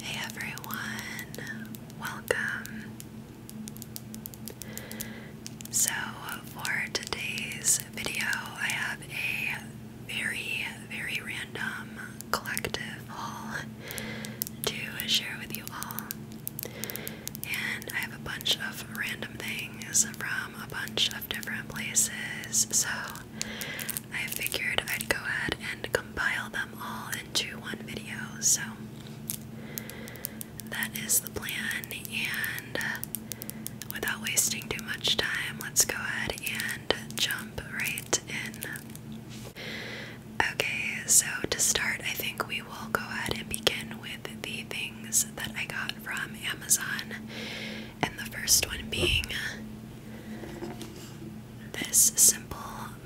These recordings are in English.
Hey everyone, welcome. So, for today's video, I have a very, very random collective haul to share with you all. And I have a bunch of random things from a bunch of different places, so I figured I'd go ahead and compile them all into one video. So that is the plan. And without wasting too much time, let's go ahead and jump right in. Okay, so to start, I think we will go ahead and begin with the things that I got from Amazon and the first one being this simple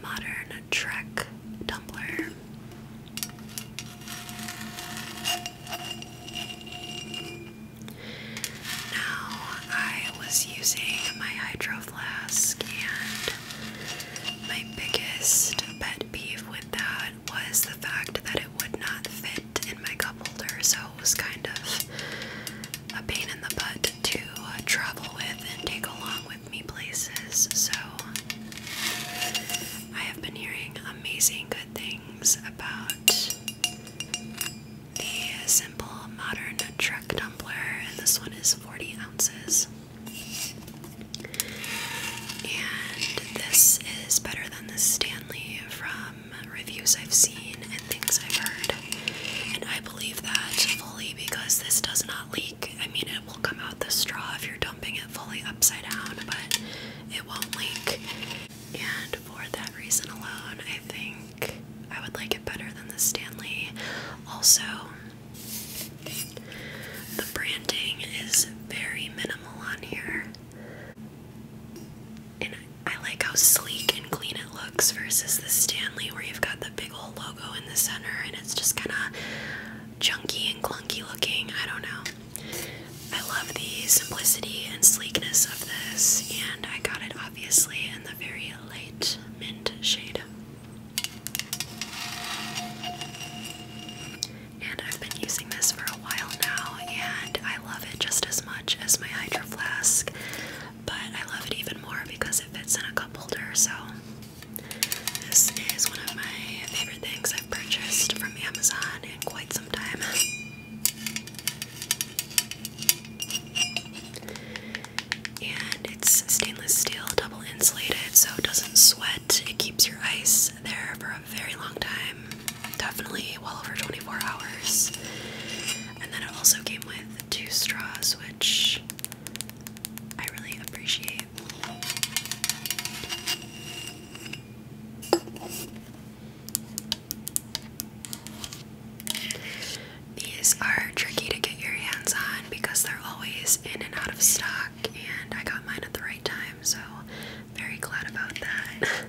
modern Trek tumbler. Now, I was using my Hydro Flask, and my biggest pet peeve with that was the fact that it would not fit in my cup holder. So, was kind of a pain in the butt to uh, travel with and take along with me places. So I have been hearing amazing good things about the simple modern Trek tumbler, and this one is 40 ounces. And this is better than the Stanley from reviews I've seen and things I've heard. And I believe that fully because this does not leak. I mean, it will come out the straw if you're dumping it fully upside down, but it won't leak. And for that reason alone, I think I would like it better than the Stanley. Also, the branding is very minimal on here. And I like how sleek and clean it looks versus the Stanley, where you've got the big old logo in the center and it's just kind of junky and clunky looking. I don't know. I love the simplicity and sleekness of this, and I got it obviously in the very light mint shade. And I've been using this for a while now, and I love it just as much as my Hydro Flask but I love it even more because it fits in a cup holder. So, this is one of my favorite things I've purchased from Amazon in quite some time. And it's stainless steel, double insulated, so it doesn't sweat. It keeps your ice there for a very long time. Definitely well over 24 hours. And then it also came with two straws, which I really appreciate. These are tricky to get your hands on because they're always in and out of stock, and I got mine at the right time, so very glad about that.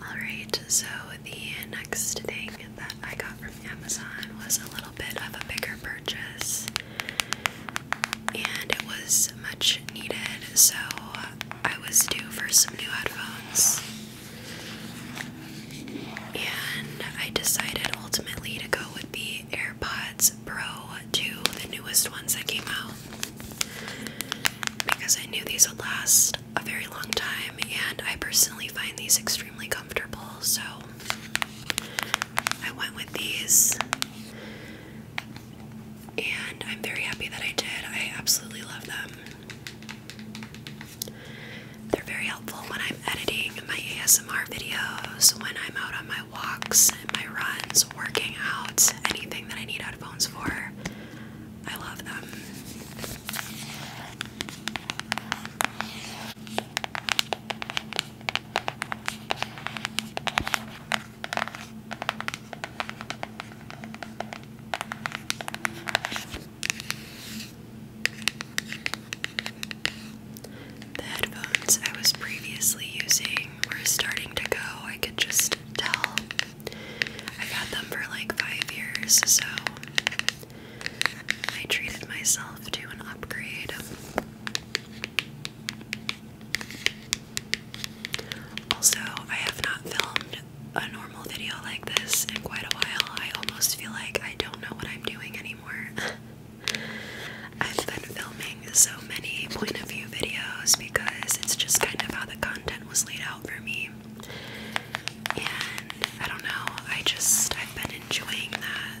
Alright, so the next thing that I got from Amazon was a little bit of a bigger purchase, and it was much needed. So I was due for some new headphones, and I decided ultimately to go with the AirPods Pro 2, the newest ones that came out, because I knew these would last a very long time, and I personally find these extremely comfortable, so I went with these. And I'm very happy that I did. I absolutely love them. They're very helpful when I'm editing my ASMR videos, when I'm out on my walks and my runs, working out, anything that I need headphones for. I love them. The headphones I was previously using were starting to go, I could just tell. I've had them for like five years, so I treated myself to an upgrade. Also, I have not filmed a normal normal video like this in quite a while. I almost feel like I don't know what I'm doing anymore. I've been filming so many point of view videos because it's just kind of how the content was laid out for me. And I don't know, I just, I've been enjoying that.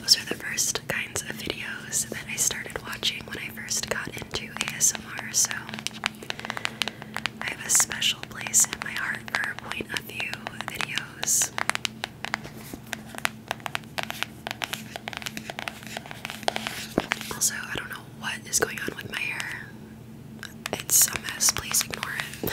Those are the first kinds of videos that I started watching when I first got into ASMR, so I have a special place in my heart for point of view videos. Also, I don't know what is going on with my hair. It's a mess, please ignore it.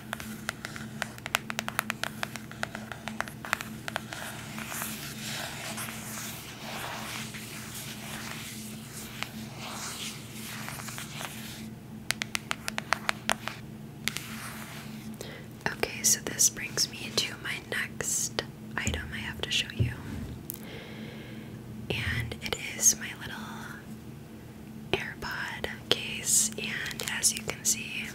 Okay, so this brings me to my next item I have to show you. And it is my little AirPod case, and as you can see,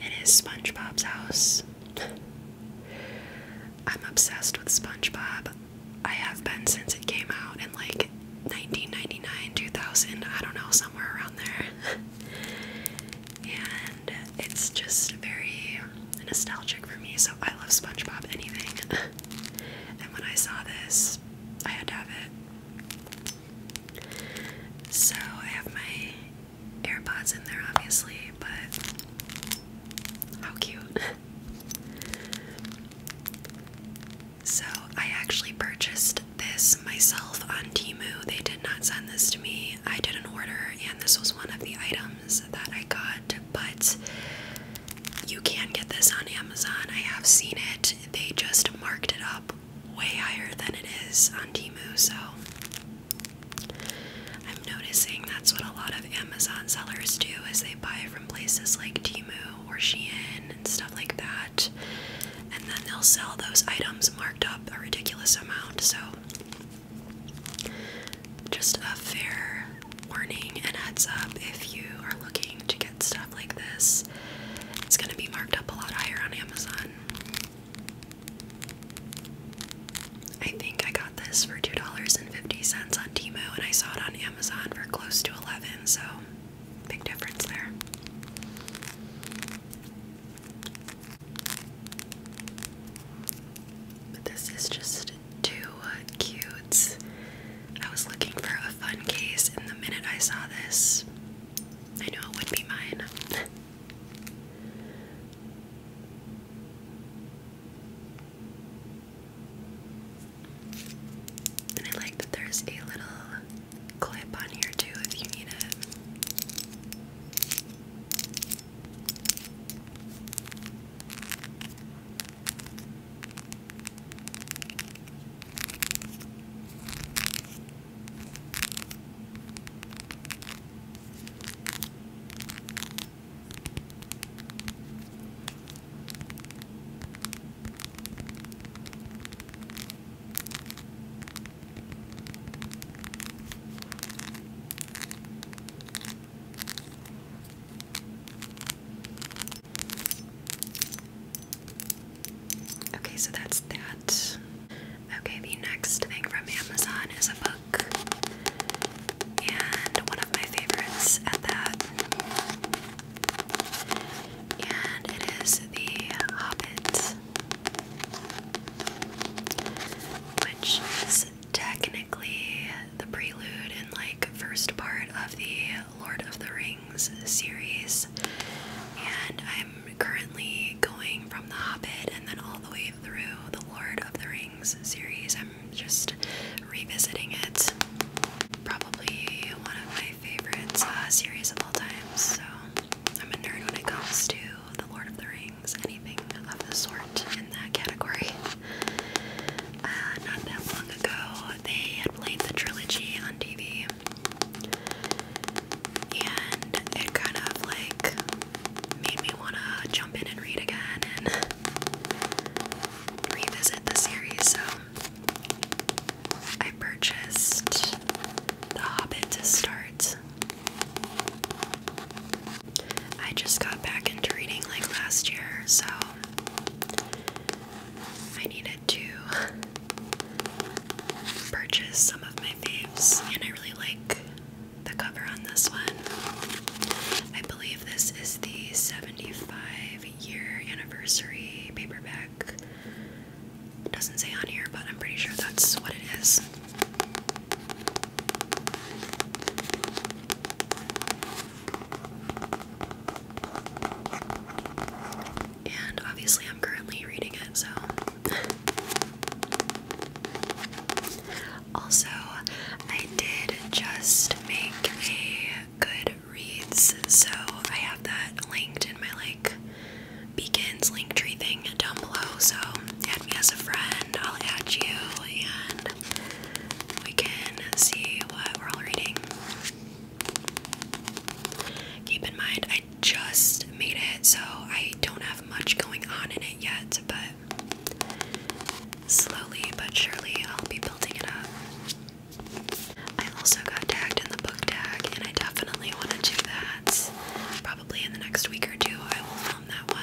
it is SpongeBob's house. I'm obsessed with SpongeBob. I have been since it came out in like 1999, 2000, I don't know, somewhere around there. and it's just very nostalgic for me, so I love SpongeBob anything. and when I saw this, I had to have it. So I have my AirPods in there, obviously, but how cute. so, I actually purchased this myself on Timu. They did not send this to me. I did an order, and this was one of the items that I got, but you can get this on Amazon. I have seen it. They just marked it up way higher than it is on Timu, so I'm noticing that's what a lot of Amazon sellers do is they buy from places like Timu or Shein and stuff like that. And then they'll sell those items marked up a ridiculous amount. So just a fair warning and heads up if you are looking to get stuff like this. It's going to be marked up a lot higher on Amazon. I think I got this for $2.50 on Timo and I saw it on Amazon for close to 11, so big difference there. this is just too cute. I was looking for a fun case and the minute I saw this, I knew it would be mine. And I like that there's a little clip on here too if you need it. Okay, so that's that. Okay, the next thing from Amazon is a book, and one of my favorites at that. And it is The Hobbit, which is technically the prelude and like first part of the Lord of the Rings series. And I'm am currently going from The Hobbit and then all the way through the Lord of the Rings series. I'm just revisiting it. Probably one of my favorite uh, series of all time. So I'm a nerd when it comes to the Lord of the Rings, anything of the sort in that category. Uh, not that long ago, they had played the trilogy on TV and it kind of like made me want to jump in and read again and revisit the series. So I purchased The Hobbit to start. I just got back into reading like last year, so I needed to purchase some of my faves, and I really like the cover on this one. I believe this is the 75 year anniversary paperback. doesn't say on here, but I'm pretty sure that's what it is. And obviously, I'm currently reading it, so also, I did just make a good reads, so I have that linked in my like beacons link tree thing down below. So add me as a friend, I'll add you, and we can see what we're all reading. Keep in mind, I I just made it, so I don't have much going on in it yet, but slowly but surely I'll be building it up. I also got tagged in the book tag, and I definitely want to do that. Probably in the next week or two, I will film that one.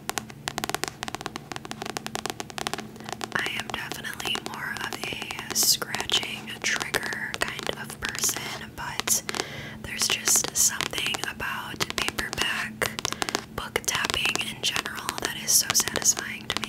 I am definitely more of a scratching trigger kind of person, but there's just something about paperback book tapping in general that is so satisfying to me.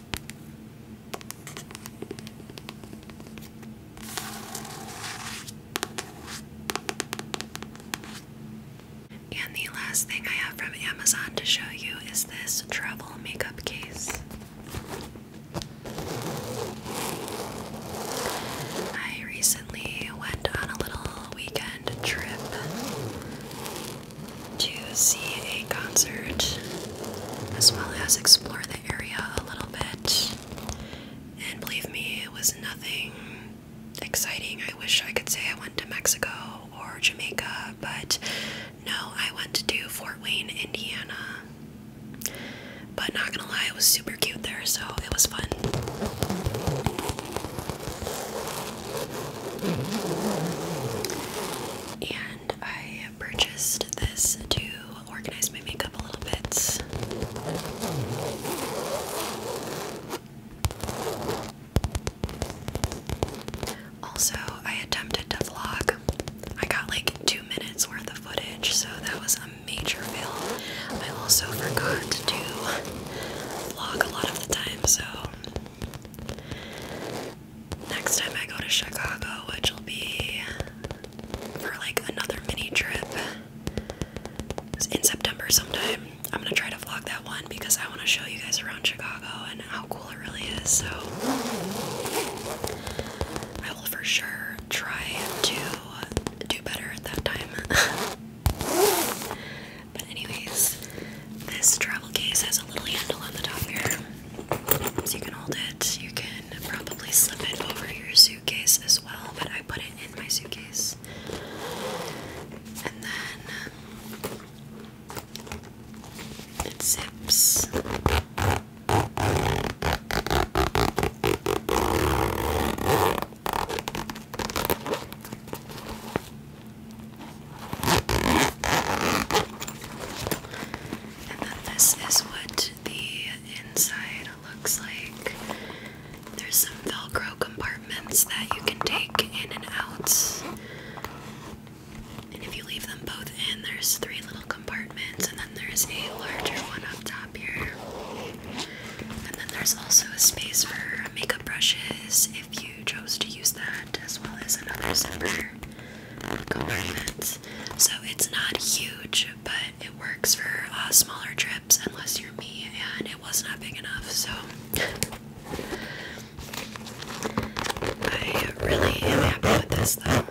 And the last thing I have from Amazon to show you is this travel makeup case. I recently went on a little weekend trip to see a concert as well as explore area a little bit. And believe me, it was nothing exciting. I wish I could say I went to Mexico or Jamaica, but no, I went to Fort Wayne, Indiana. But not gonna lie, it was super cute there, so it was fun. And I I purchased this to organize my makeup a little bit. Also, I attempted to vlog. I got like two minutes worth of footage, so that was a major fail. I also forgot to vlog a lot of the time, so next time I go to Chicago, which will be for like another mini trip in September sometime, I'm gonna try to vlog that one because I want to show you guys around Chicago and how cool it really is. So I will for sure try to do better at that time. but, anyways, this travel case has a little handle on the top here. So you can hold it, you can can probably slip it over your suitcase as well, but I put it in my suitcase. And then it zips. And then this is what the inside looks like. There's some Velcro compartments that you can take in and out. And if you leave them both in, there's three little compartments, and then there's a larger one up top here. And then there's also a space for makeup brushes if you chose to use that, as well as another zipper compartments. So it's not huge, but it works for uh, smaller trips unless you're me, and it was not big enough. So I really am happy with this though.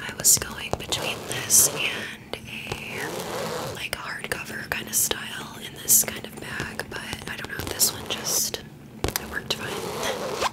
I was going between this and a like hardcover kind of style this kind of bag, but I don't know. This one just it worked fine.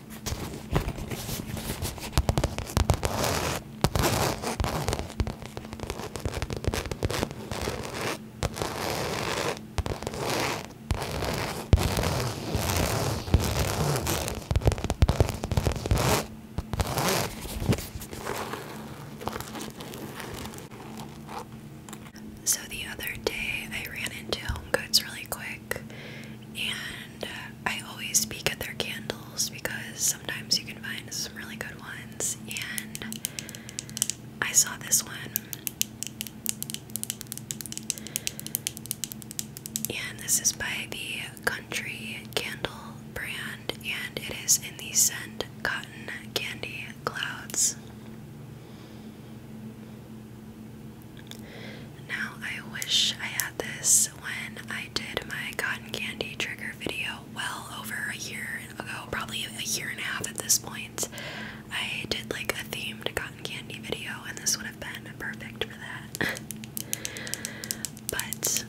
So the other day I ran into Home Goods really quick and uh, I always peek at their candles because sometimes you can find some really good ones. And I saw this one, and this is by the Country Candle brand, and it is in the scent Cotton Candy Clouds. Now, I wish I had this when I did my cotton candy trigger video well over a year ago, probably a year and a half at this point. I did like a themed cotton candy video, and this would have been perfect for that. but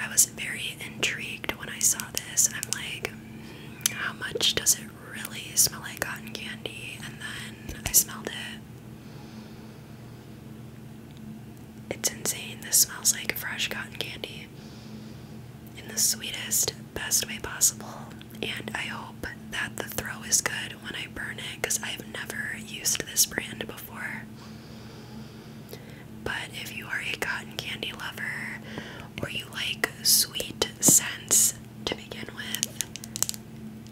I was very intrigued when I saw this. I'm like, hmm, how much does it really smell like cotton candy? And then I smelled it. It's insane. This smells like fresh cotton candy in the sweetest, best way possible. And I hope that the throw is good when I burn it because I've never used this brand before. But if you are a cotton candy lover or you like sweet scents to begin with,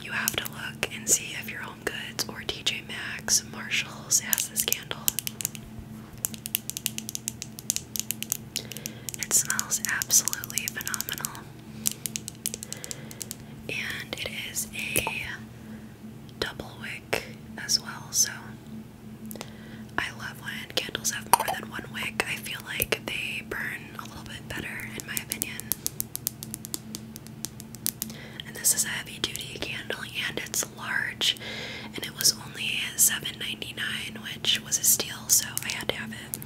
you have to look and see if you're. Home Goods or TJ Maxx, Marshalls has this candle. It smells absolutely phenomenal. And it is a double wick as well, so I love when candles have more than one wick. I feel like they burn a little bit better, in my opinion. And this is a heavy duty candle and it's large and it was only $7.99 which was a steal so I had to have it.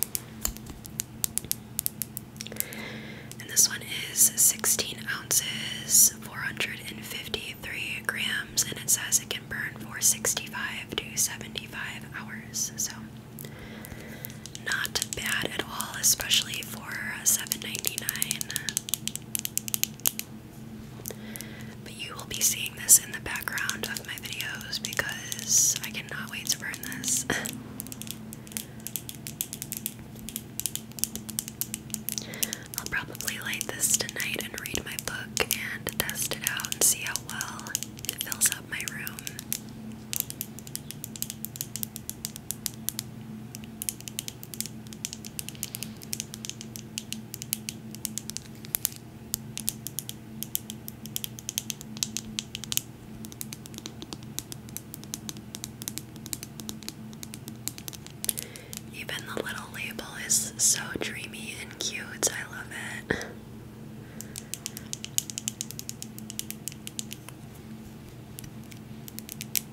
And this one is 16 ounces, 453 grams, and it says it can burn for 65 to 75 hours. So not bad at all, especially for $7.99. But you will be seeing this in the background of my videos because I cannot wait to burn this. I'll probably light this tonight and read my book and test it out and see how well it fills up my room. Even the little label is so dreamy and cute. I love it.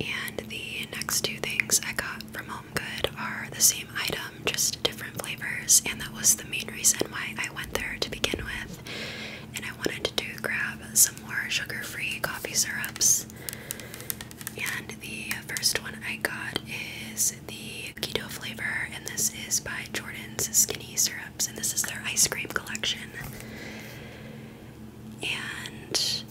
And the next two things I got from Home Good are the same item, just different flavors, and that was the main reason why I went there to begin with. And I wanted to grab some more sugar free coffee syrups. And the first one I got is the keto flavor, and this is by Jordan's Skinny Syrups, and this is their ice cream collection and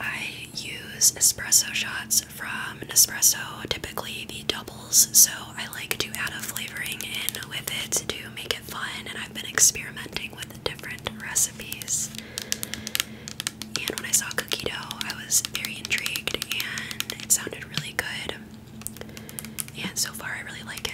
I use espresso shots from Nespresso, typically the doubles, so I like to add a flavoring in with it to make it fun, and I've been experimenting with different recipes. And when I saw cookie dough, I was very intrigued, and it sounded really good. And so far, I really like it.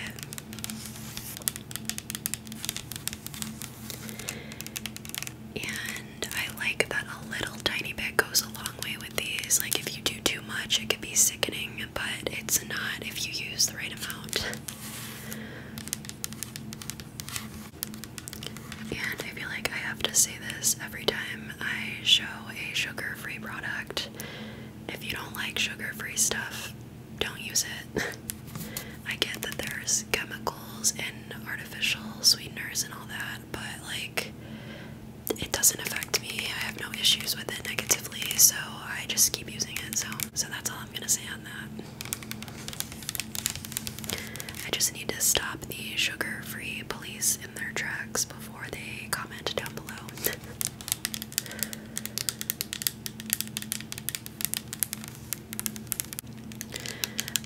And I like that a little tiny bit goes a long way with these. Like, if you do too much, it could be sickening, but it's not if you use the right amount. And I feel like I have to say this every time I show a sugar free product. If you don't like sugar free stuff, don't use it. I get that there's chemicals in artificial sweeteners and all that, but like it doesn't affect me. I have no issues with it negatively, so I just keep using it. So so that's all I'm gonna say on that. I just need to stop the sugar-free police in their tracks before they comment down below.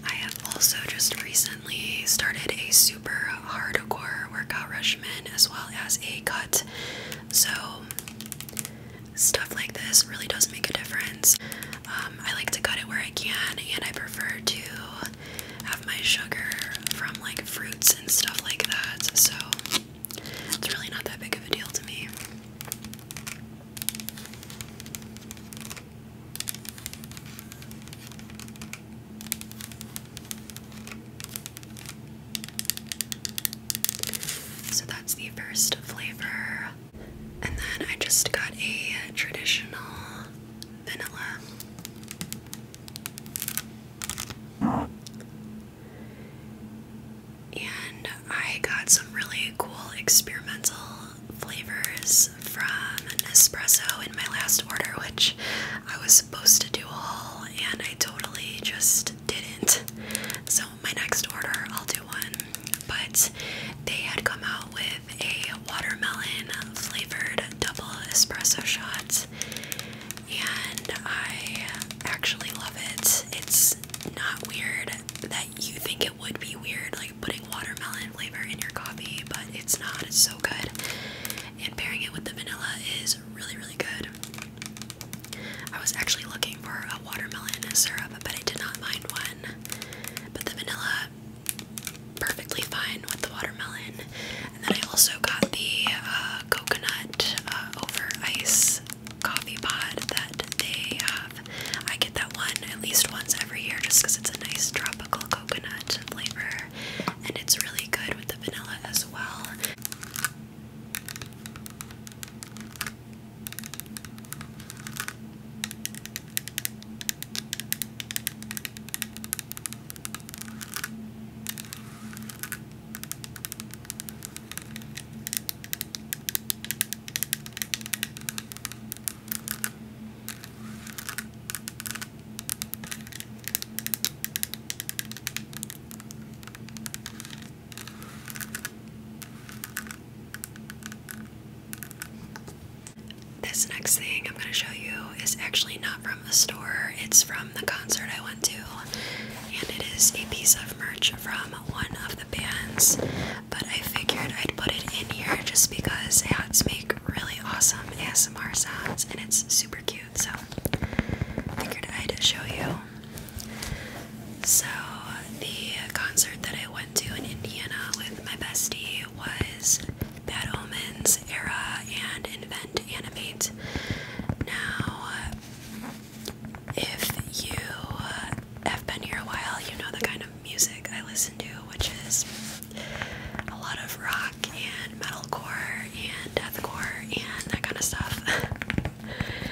I have also just recently started a super hardcore workout regimen as well as a cut. So, stuff like this really does make a difference. Um, I like to cut it where I can, and I prefer to have my sugar from like fruits and stuff like that. So, it's really not that big of a deal to me. So that's the first flavor. And then I just got a traditional vanilla. And I got some really cool experimental flavors from Nespresso in my last order, which I was supposed to do all and I totally just didn't. So, my next order, I'll do one. But they had come out with a watermelon flavored double espresso shot, and I actually love it. It's not weird that you think it would be weird, like putting watermelon flavor in your coffee, but it's not. It's so good. And pairing it with the vanilla is really, really good. I was actually looking for a watermelon syrup, but I did not find one. But the vanilla, perfectly fine with the watermelon. And then I also got the uh, coconut uh, over ice coffee pod that they have uh, I get that one at least once every year just because it's a nice tropical coconut flavor and it's really good with the vanilla as well. This next thing I'm going to show you is actually not from the store, it's from the concert I went to, and it is a piece of merch from one of the bands but I figured I'd put it in here just because hats make really awesome ASMR sounds and it's super cute, so I figured I'd show you. So, the concert that I went to in Indiana with my bestie was Bad Omens, Era, and Invent Animate. Now, if you have been here a while, you know the kind of music I listen to, which is a lot of rock and metalcore and deathcore and that kind of stuff.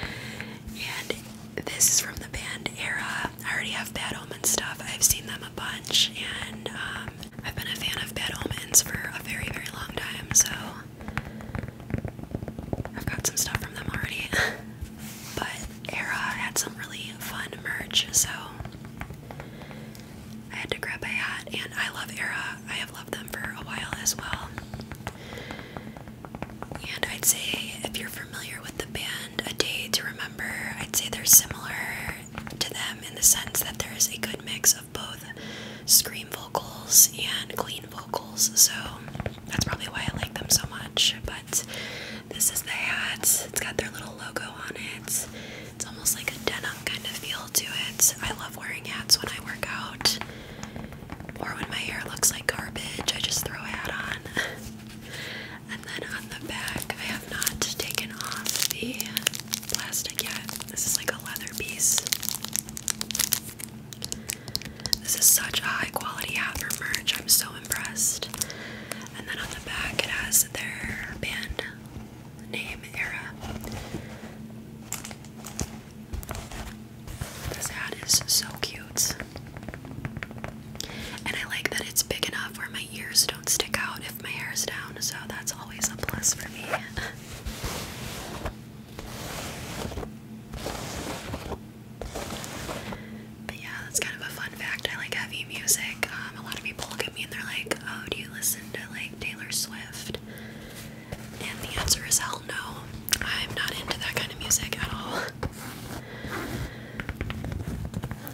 and this is from the band era. I already have Bad Omen stuff. I've seen them a bunch and um, I've been a fan of Bad Omens for a very, very long time, so I've got some stuff from them already. but Era had some really fun merch, so I had to grab a hat, and I love Era. I have loved them for a while as well. And I'd say, if you're familiar with the band A Day to Remember, I'd say they're similar to them in the sense that there is a good mix of both scream vocals and clean vocals, so that's probably why I like them so much. But this is the hat. It's got their little logo on it. It's almost like a denim kind of feel to it. I love wearing hats when I work out or when my hair looks like garbage. I just throw a hat on. and then on the back, I have not taken off the plastic yet. This is like a leather piece. This is such a high quality hat for merch. I'm so impressed. And then on the back, it has their band name era. This hat is so cute. And I like that it's big enough where my ears don't stick out if my hair is down, so that's always a plus for me. But yeah, that's kind of a fun fact. I like heavy music. Um, a lot of people look at me and they're like, "Oh, do you listen to like Taylor Swift?" And the answer is hell no. I'm not into that kind of music at all.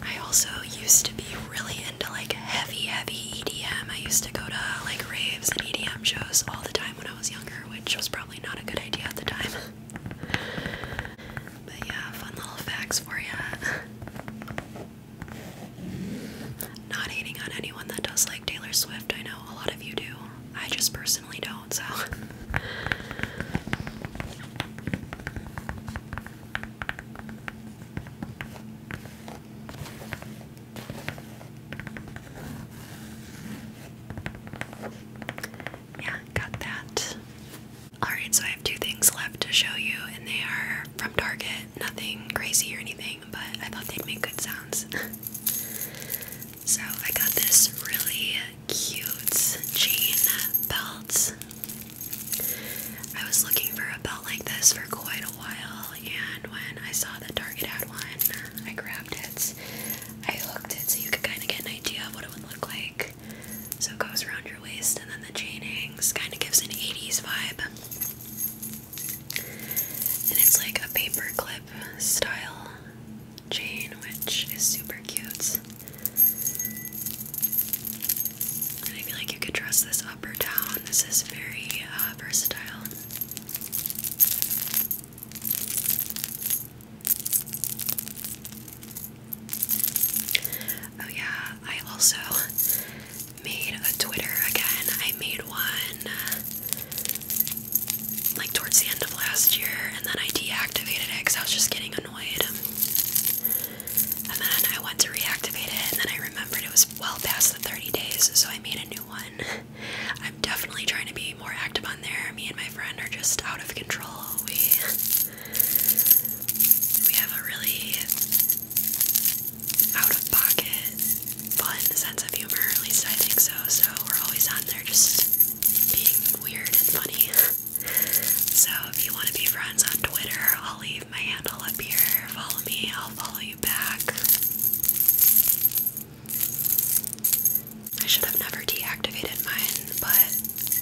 I also used to be really into like heavy, heavy EDM. I used to go to like raves and EDM shows all the time when I was younger, which was probably not a good idea at the time. But yeah, fun little facts for you. Not hating on anyone that does like Taylor Swift. I know a lot of you do. I just personally don't, so. Yeah, got that. Alright, so I have two things left to show you, and they are from Target. Nothing crazy or anything, but I thought they'd make good sounds. so I got this really cute chain belt. I was looking for a belt like this for quite a while, and when I saw that Target had one, I grabbed it. I hooked it so you could kind of get an idea of what it would look like. So it goes around your waist, and then the chain hangs. Kind of gives an 80s vibe. And it's like a paperclip style chain, which is super cute. I feel like you could dress this up or down. This is very uh, versatile. Oh, yeah, I also made a Twitter again. I made one uh, like towards the end of last year and then I deactivated it because I was just getting annoyed. Um, and then I went to reactivate it, and then I remembered it was well past the 30 days, so I made a new one. I'm definitely trying to be more active on there. Me and my friend are just out of control. We we have a really out of pocket, fun sense of humor, at least I think so. So we're always on there just being weird and funny. so if you want to be friends on Twitter, I'll leave my handle up here. Follow me, I'll follow you back. I should have never deactivated mine, but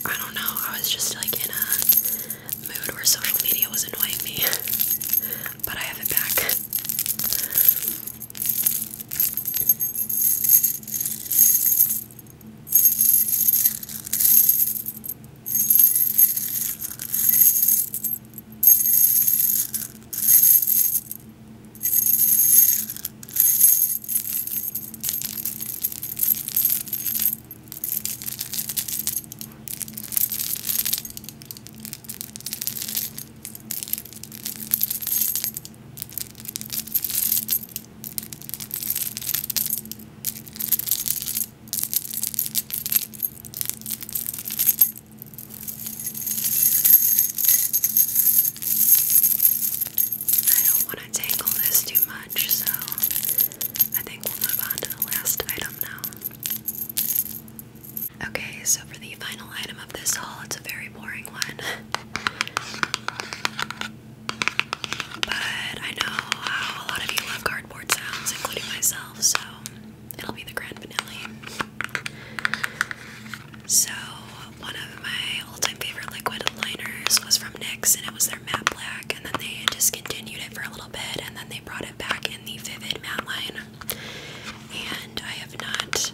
I don't know. I was just like in a mood where social media was annoying me, but I have it back. I don't want to tangle this too much, so I think we'll move on to the last item now. Okay, so for the final item of this haul, it's a very boring one. But I know how a lot of you love cardboard sounds, including myself, so it'll be the Grand Vanilli. So, one of my all time favorite liquid liners was from NYX, and it was their matte black, and then they discontinued it for a little and then they brought it back in the Vivid matte line. And I have not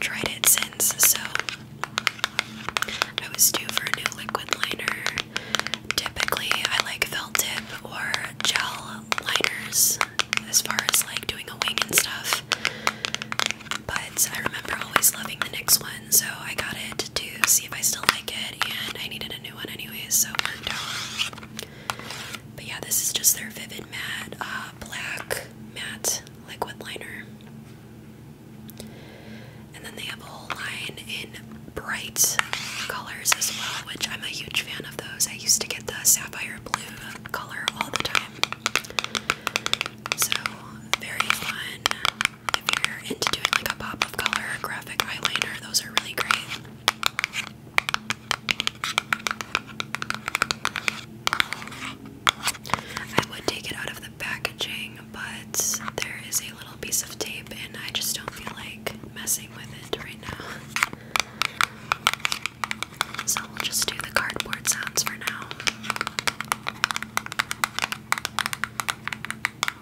tried it since, so I was due for a new liquid liner. Typically, I like felt tip or gel liners as far as like doing a wing and stuff. But I remember always loving the NYX one, so I got it to see if I still like it, and I needed a new one anyways, so But yeah, this is just their Vivid Matte uh, Black Matte Liquid Liner. And then they have a whole line in bright colors as well, which I'm a huge fan of those. I used to get the sapphire blue color all the time. So, very fun. If you're into doing like a pop of color graphic eyeliner, those are really great. I would take it out of the packaging, but there is a little piece of tape, and I just don't feel like messing with it right now. So we'll just do the cardboard sounds for now.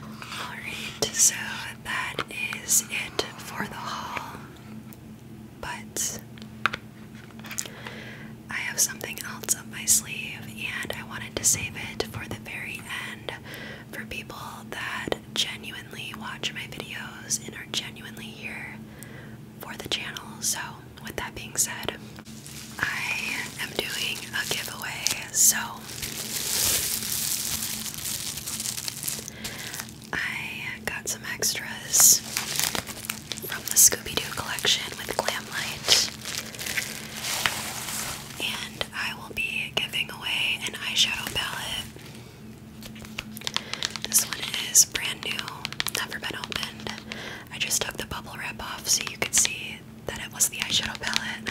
Alright, so that is it for the haul. But I have something else up my sleeve, and I wanted to save it for the very end for people that genuinely watch my videos and are genuinely here for the channel. So, with that being said, I am doing a giveaway. So, I got some extras from the Scooby Doo collection with Glam Light. And I will be giving away an eyeshadow palette. This one is brand new, never been opened. I just took the bubble wrap off so you could see me that it was the eyeshadow palette.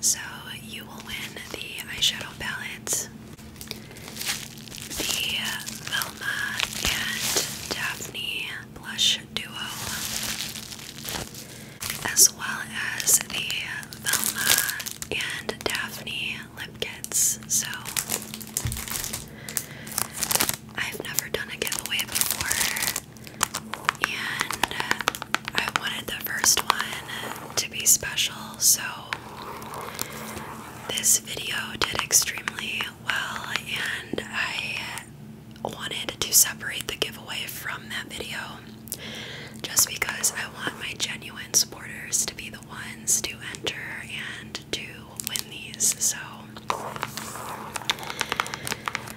So you will win the eyeshadow palette, the Velma and Daphne blush duo, as well as the Velma and Daphne lip kits. So I've never done a giveaway before, and uh, I wanted the first one to be special, so this video did extremely well, and I wanted to separate the giveaway from that video just because I want my genuine supporters to be the ones to enter and to win these. So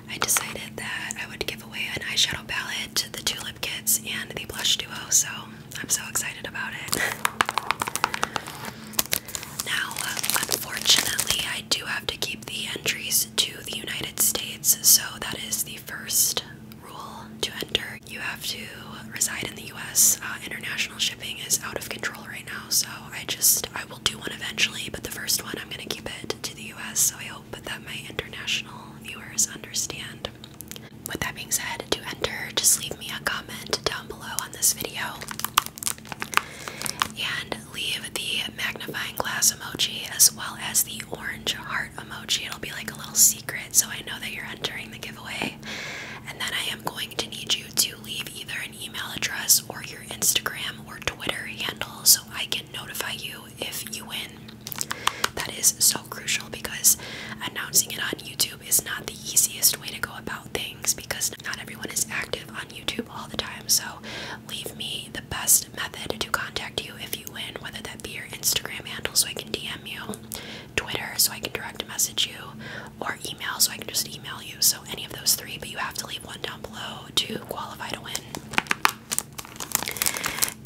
I decided that I would give away an eyeshadow palette, the Tulip Kits, and the Blush Duo, so I'm so excited about it. now, unfortunately, I do have to keep the entries to the United States, so that is the first rule to enter. You have to reside in the US. Uh, international shipping is out of control right now, so I just I will do one eventually, but the first one I'm gonna keep it to the US, so I hope that my international viewers understand. With that being said, to enter, just leave me a comment down below on this video and leave the magnifying glass emoji as well as the orange heart emoji. It'll be like a little secret so I know that you're entering the giveaway. And then I am going to need you to leave either an email address or your Instagram or Twitter handle so I can notify you if you win. That is so crucial because announcing it on YouTube is not the easiest way to go about things because not everyone is active on YouTube all the time. So leave me the best method to contact you if you win, whether that be your Instagram handle so I can DM you, Twitter so I can direct message you, or email, so I can just email you. So, any of those three, but you have to leave one down below to qualify to win.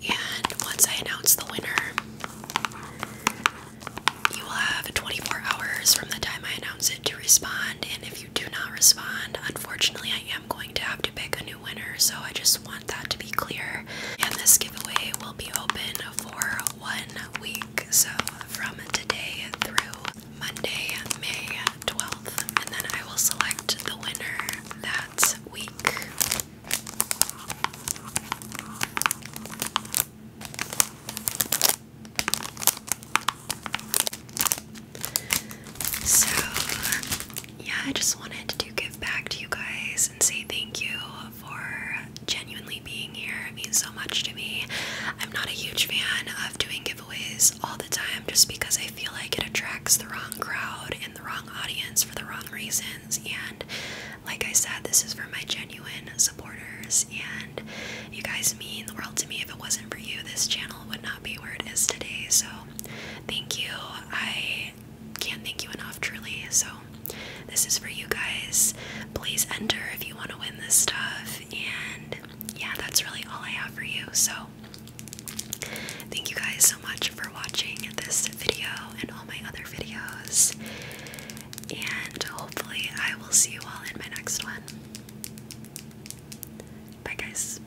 And once I announce the winner, you will have 24 hours from the time I announce it to respond. And if you do not respond, unfortunately, I am going to have to pick a new winner. So I just want that to be clear. And this giveaway will be open for one week. So from today through Monday, May 12th, and then I will select the winner that week. So, yeah, I just wanted to give back to you guys and say thank you for genuinely being here. It means so much to me. I'm not a huge fan of doing all the time just because I feel like it attracts the wrong crowd and the wrong audience for the wrong reasons. And like I said, this is for my genuine supporters, and you guys mean the world to me. If it wasn't for you, this channel would not be where it is today. So thank you. I can't thank you enough, truly. So this is for you guys. Please enter if you want to win this stuff, and yeah, that's really all I have for you. So, thank you guys so much for watching this video and all my other videos. And hopefully, I will see you all in my next one. Bye, guys.